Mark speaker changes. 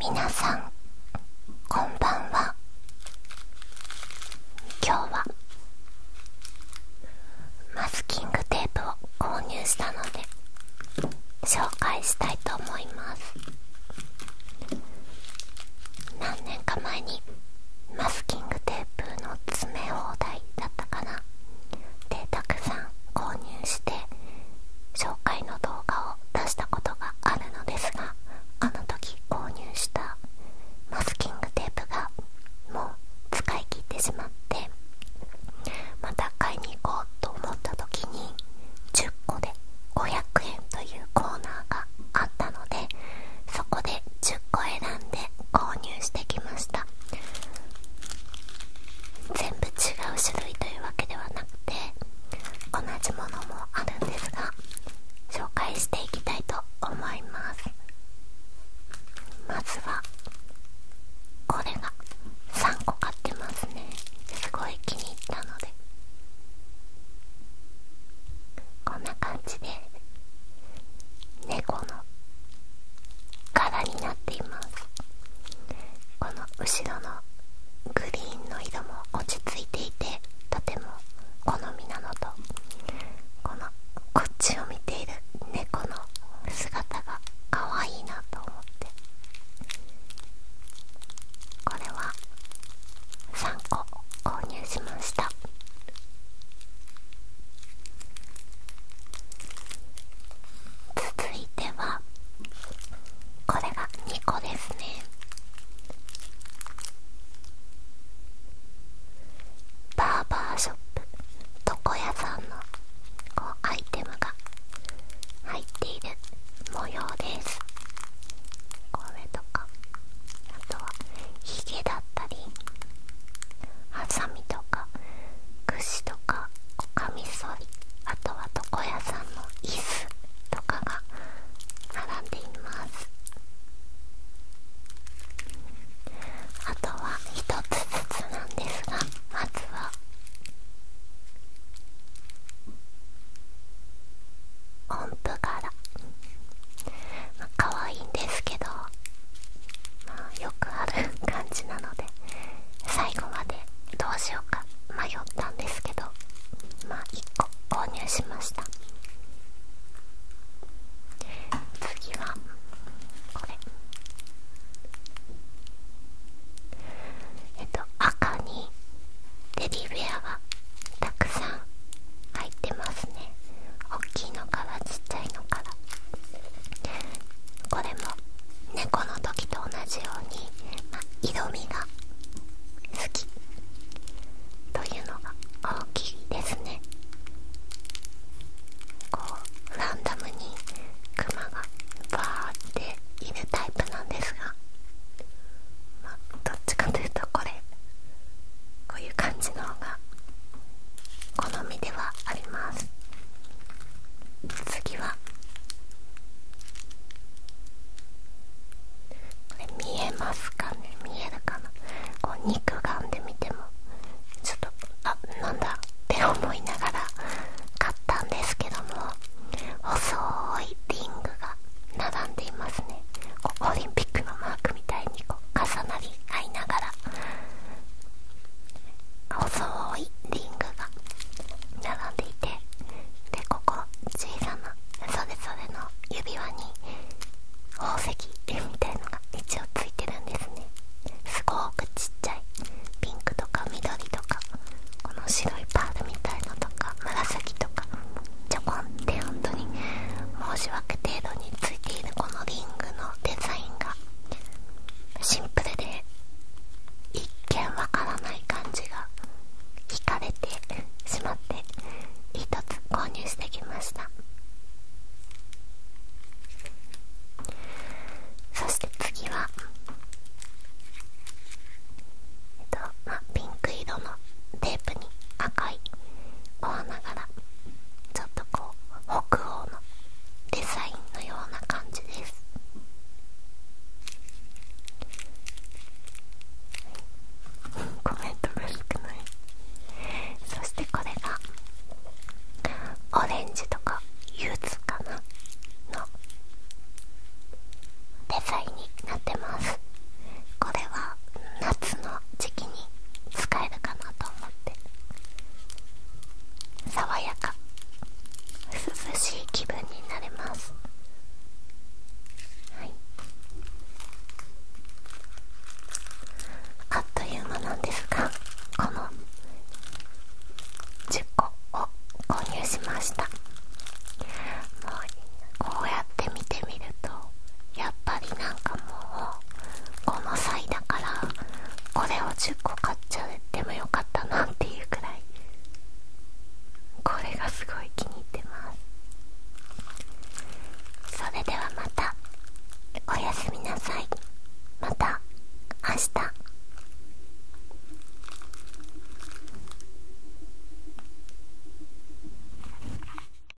Speaker 1: 皆さんこんばんは今日はマスキングテープを購入したので紹介したいと思います何年か前にマスキングテープの詰め放題だったかなでたくさん購入して紹介の動画を出したことがあるのですがあの時購入したマスキングテープがもう使い切ってしまってまた買いに行こうと思った時に10個で500円というコーナーがあったのでそこで10個選んで購入してきました全部違う種類というわけではなくて同じものもあるんですが紹介していきたいと思いますまずはこれが3個買ってますねすごい気に入ったのでこんな感じで猫の柄になっていますこの後ろのグリーンの色も落ち着いていてとても好みなのとこのこっちを見ている猫の姿が可愛いなと思ってこれは3個購入しました続いてはこれが2個ですねバーバーショップ床屋さんのこうアイテムが入っている模様ですこれとかあとはヒゲだったりハサミとか櫛とかこかみそりあとは床屋さんの椅子とかが並んでいますあとは一つずつなんですがまずは音符柄まあ可愛いんですけどまあよくある感じなので最後までどうしようか迷ったんですけどまあ1個購入しました次はこれえっと赤にテディベアがたくさん入ってますね大きいのからちっちゃいのからこれも猫の時と同じように、ま、色味が好きというのが大きいですねこうランダムにクマがバーっているタイプなんですが、ま、どっちかというとこれこういう感じの方が好みではあります次はこれ見えますかね見えるかなこう肉眼で見てもちょっとあなんだって思いながら買ったんですけども細いリングが並んでいますねオリンピックのマークみたいにこう重なり合いながら細いリングが並んでいてでここ小さなそれぞれの指輪に宝石みたいのが一応ついてるんですねすごくちっちゃいピンクとか緑とかこの白いパールみたいのとか紫とかちょこんって本当に申し訳程度につこのリングのデザインがシンプルで一見わからない感じが惹かれてしまって1つ購入してきましたそして次はピンク色のテープに赤いお花柄ちょっとこう北欧のデザインのような感じですコメントそしてこれがオレンジとかユズかなのデザインになってますこれは夏の時期にかなと思って爽やか涼しい気分になれますあっという間なんですがこの10個を購入しましたもうこうやって見てみるとやっぱりなんかもうこの際だからこれを10個買っちゃってもよかったなっていうくらいこれがすごい気に入ってますそれではまたおやすみなさいまた明日